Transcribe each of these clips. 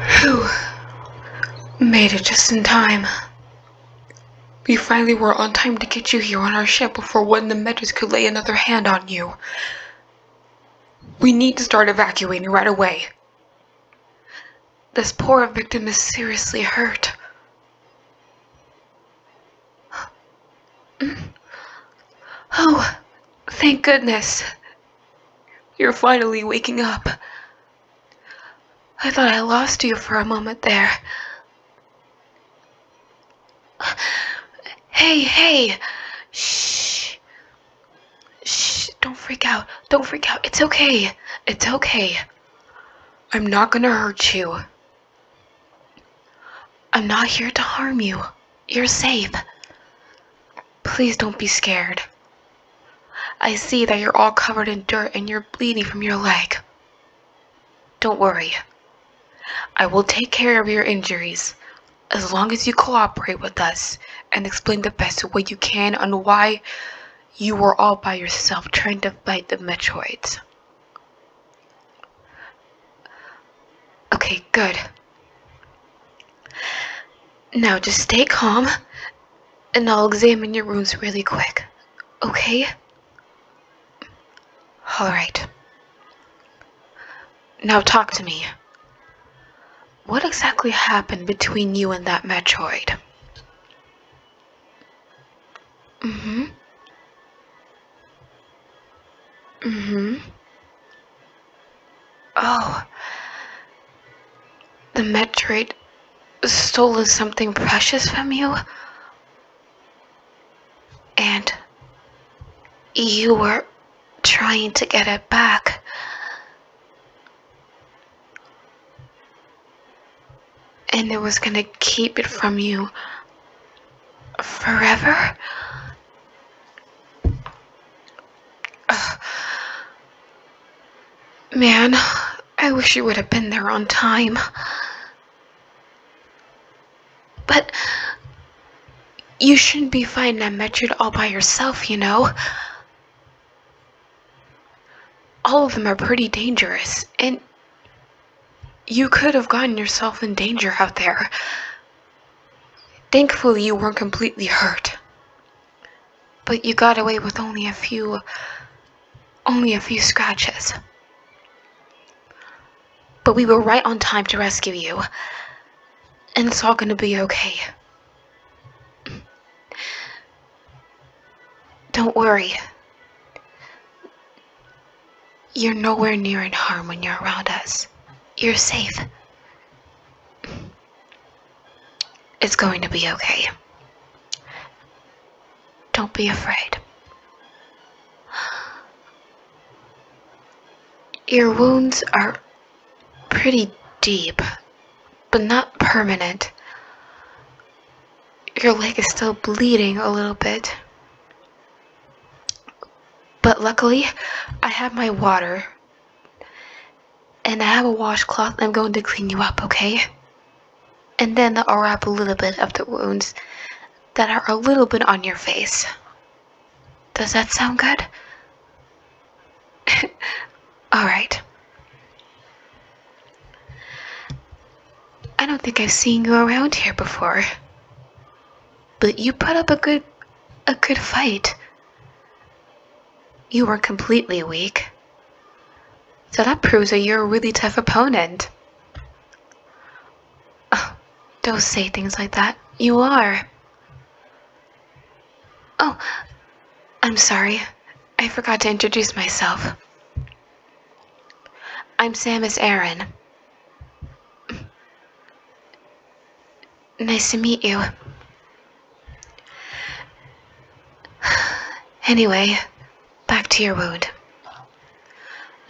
Whew. Made it just in time. We finally were on time to get you here on our ship before one of the medics could lay another hand on you. We need to start evacuating right away. This poor victim is seriously hurt. Mm. Oh, thank goodness. You're finally waking up. I thought I lost you for a moment there. Hey, hey! Shh! Shh, don't freak out. Don't freak out. It's okay. It's okay. I'm not gonna hurt you. I'm not here to harm you. You're safe. Please don't be scared. I see that you're all covered in dirt and you're bleeding from your leg. Don't worry. I will take care of your injuries as long as you cooperate with us and explain the best way you can on why you were all by yourself trying to fight the Metroids. Okay, good. Now just stay calm, and I'll examine your wounds really quick, okay? Alright. Now talk to me. What exactly happened between you and that Metroid? hmm hmm Oh. The Metroid stole something precious from you? And you were trying to get it back. And it was gonna keep it from you forever? man, I wish you would have been there on time. But you shouldn't be fighting that Metroid all by yourself, you know? All of them are pretty dangerous, and you could have gotten yourself in danger out there. Thankfully, you weren't completely hurt. But you got away with only a few, only a few scratches. But we were right on time to rescue you. And it's all gonna be okay. Don't worry. You're nowhere near in harm when you're around us. You're safe. It's going to be okay. Don't be afraid. Your wounds are pretty deep, but not permanent. Your leg is still bleeding a little bit. But luckily, I have my water and I have a washcloth. I'm going to clean you up, okay? And then I'll wrap a little bit of the wounds that are a little bit on your face. Does that sound good? Alright. I don't think I've seen you around here before. But you put up a good a good fight. You were completely weak. So that proves that you're a really tough opponent. don't say things like that. You are. Oh, I'm sorry. I forgot to introduce myself. I'm Samus Aaron. Nice to meet you. Anyway, back to your wound.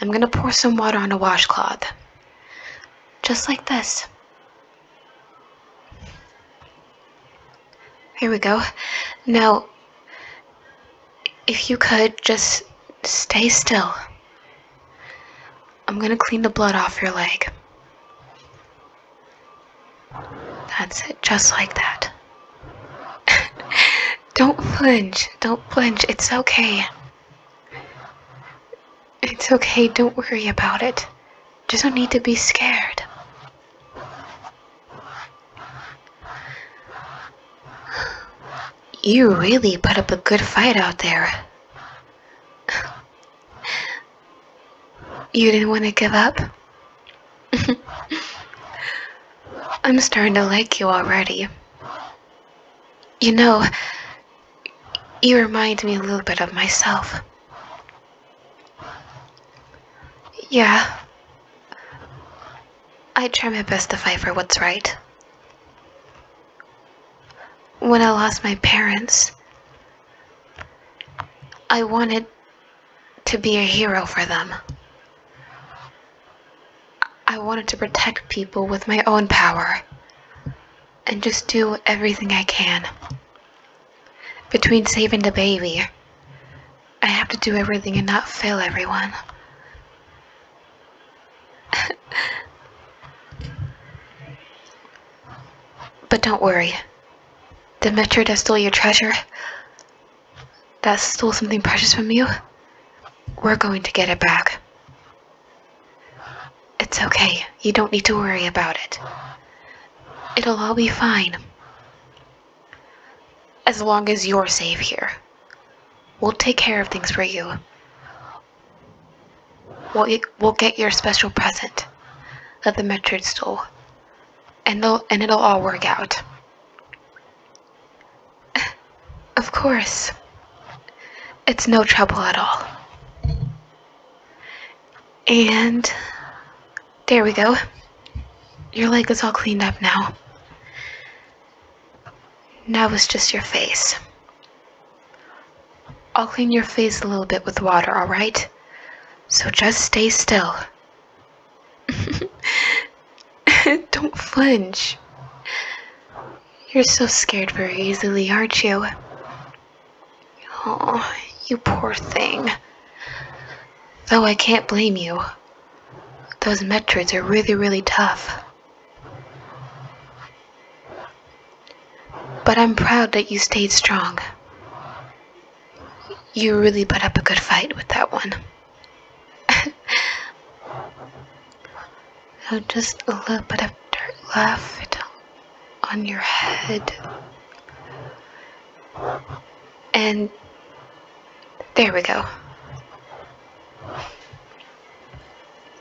I'm gonna pour some water on a washcloth. Just like this. Here we go. Now, if you could, just stay still. I'm gonna clean the blood off your leg. That's it, just like that. don't flinch, don't flinch. it's okay. It's okay, don't worry about it. Just don't need to be scared. You really put up a good fight out there. You didn't want to give up? I'm starting to like you already. You know, you remind me a little bit of myself. Yeah. I try my best to fight for what's right. When I lost my parents, I wanted to be a hero for them. I wanted to protect people with my own power and just do everything I can. Between saving the baby, I have to do everything and not fail everyone. but don't worry. The Metro that stole your treasure, that stole something precious from you, we're going to get it back. It's okay. You don't need to worry about it. It'll all be fine. As long as you're safe here. We'll take care of things for you. We'll, we'll get your special present at the Metroid store, And, and it'll all work out. of course. It's no trouble at all. And there we go. Your leg is all cleaned up now. Now it's just your face. I'll clean your face a little bit with water, alright? So just stay still. Don't flinch. You're so scared very easily, aren't you? Oh, you poor thing. Though I can't blame you. Those metroids are really, really tough. But I'm proud that you stayed strong. You really put up a good fight with that one. so just a little bit of dirt left on your head. And there we go.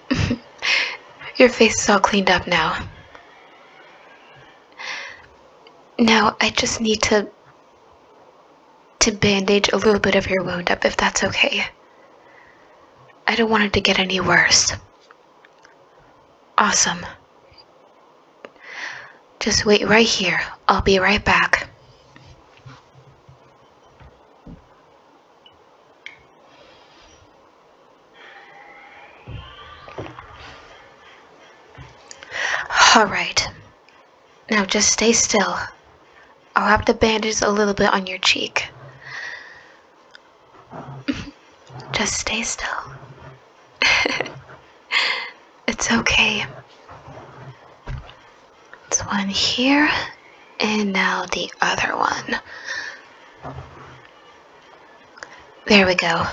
Your face is all cleaned up now. Now, I just need to to bandage a little bit of your wound up, if that's okay. I don't want it to get any worse. Awesome. Just wait right here. I'll be right back. Alright. Now just stay still. I'll have the bandage a little bit on your cheek. just stay still. it's okay. It's one here, and now the other one. There we go.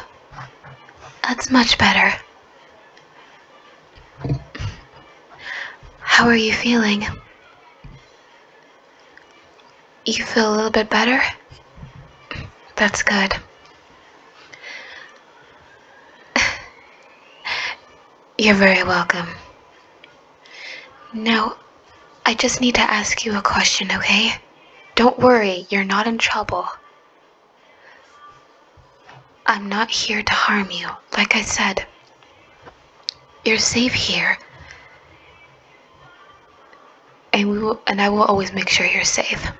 That's much better. How are you feeling? You feel a little bit better? That's good. You're very welcome. Now, I just need to ask you a question, okay? Don't worry, you're not in trouble. I'm not here to harm you. Like I said, you're safe here. And we will, and I will always make sure you're safe.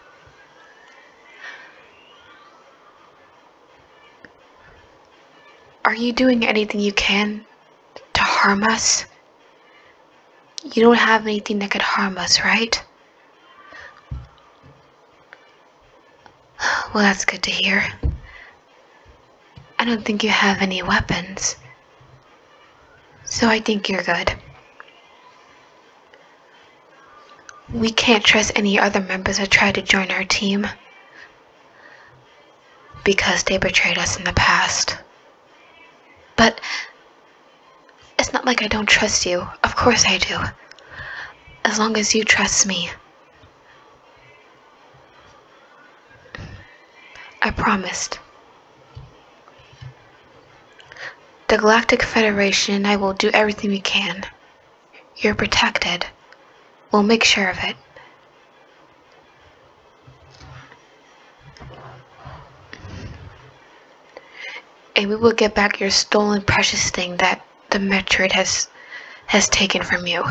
Are you doing anything you can to harm us? You don't have anything that could harm us, right? Well, that's good to hear. I don't think you have any weapons. So I think you're good. We can't trust any other members that try to join our team because they betrayed us in the past. But it's not like I don't trust you. Of course I do. As long as you trust me. I promised. The Galactic Federation I will do everything we can. You're protected. We'll make sure of it. And we will get back your stolen precious thing that the Metroid has has taken from you.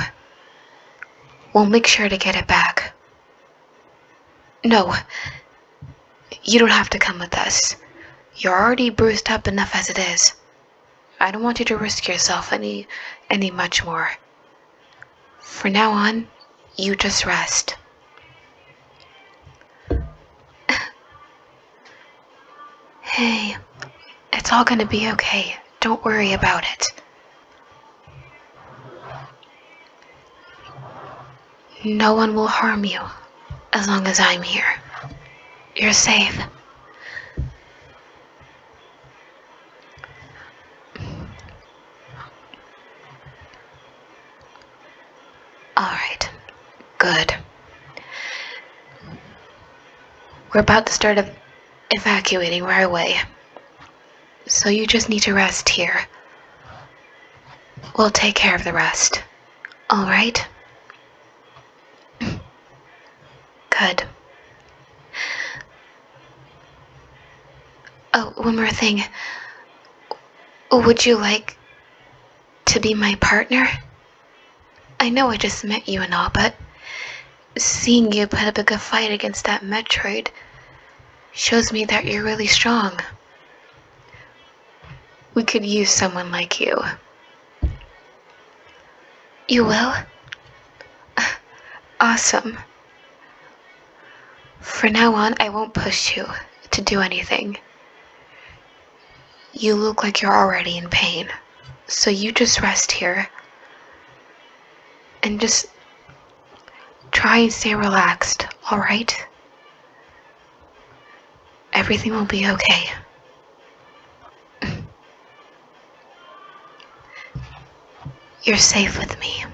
We'll make sure to get it back. No, you don't have to come with us. You're already bruised up enough as it is. I don't want you to risk yourself any any much more. For now on, you just rest hey, it's all gonna be okay. Don't worry about it. No one will harm you as long as I'm here. You're safe. All right, good. We're about to start evacuating right away. So you just need to rest here. We'll take care of the rest. All right? Good. Oh, one more thing. Would you like to be my partner? I know I just met you and all, but seeing you put up a good fight against that Metroid shows me that you're really strong. We could use someone like you. You will? Awesome. For now on, I won't push you to do anything. You look like you're already in pain. So you just rest here and just try and stay relaxed, alright? Everything will be okay. You're safe with me.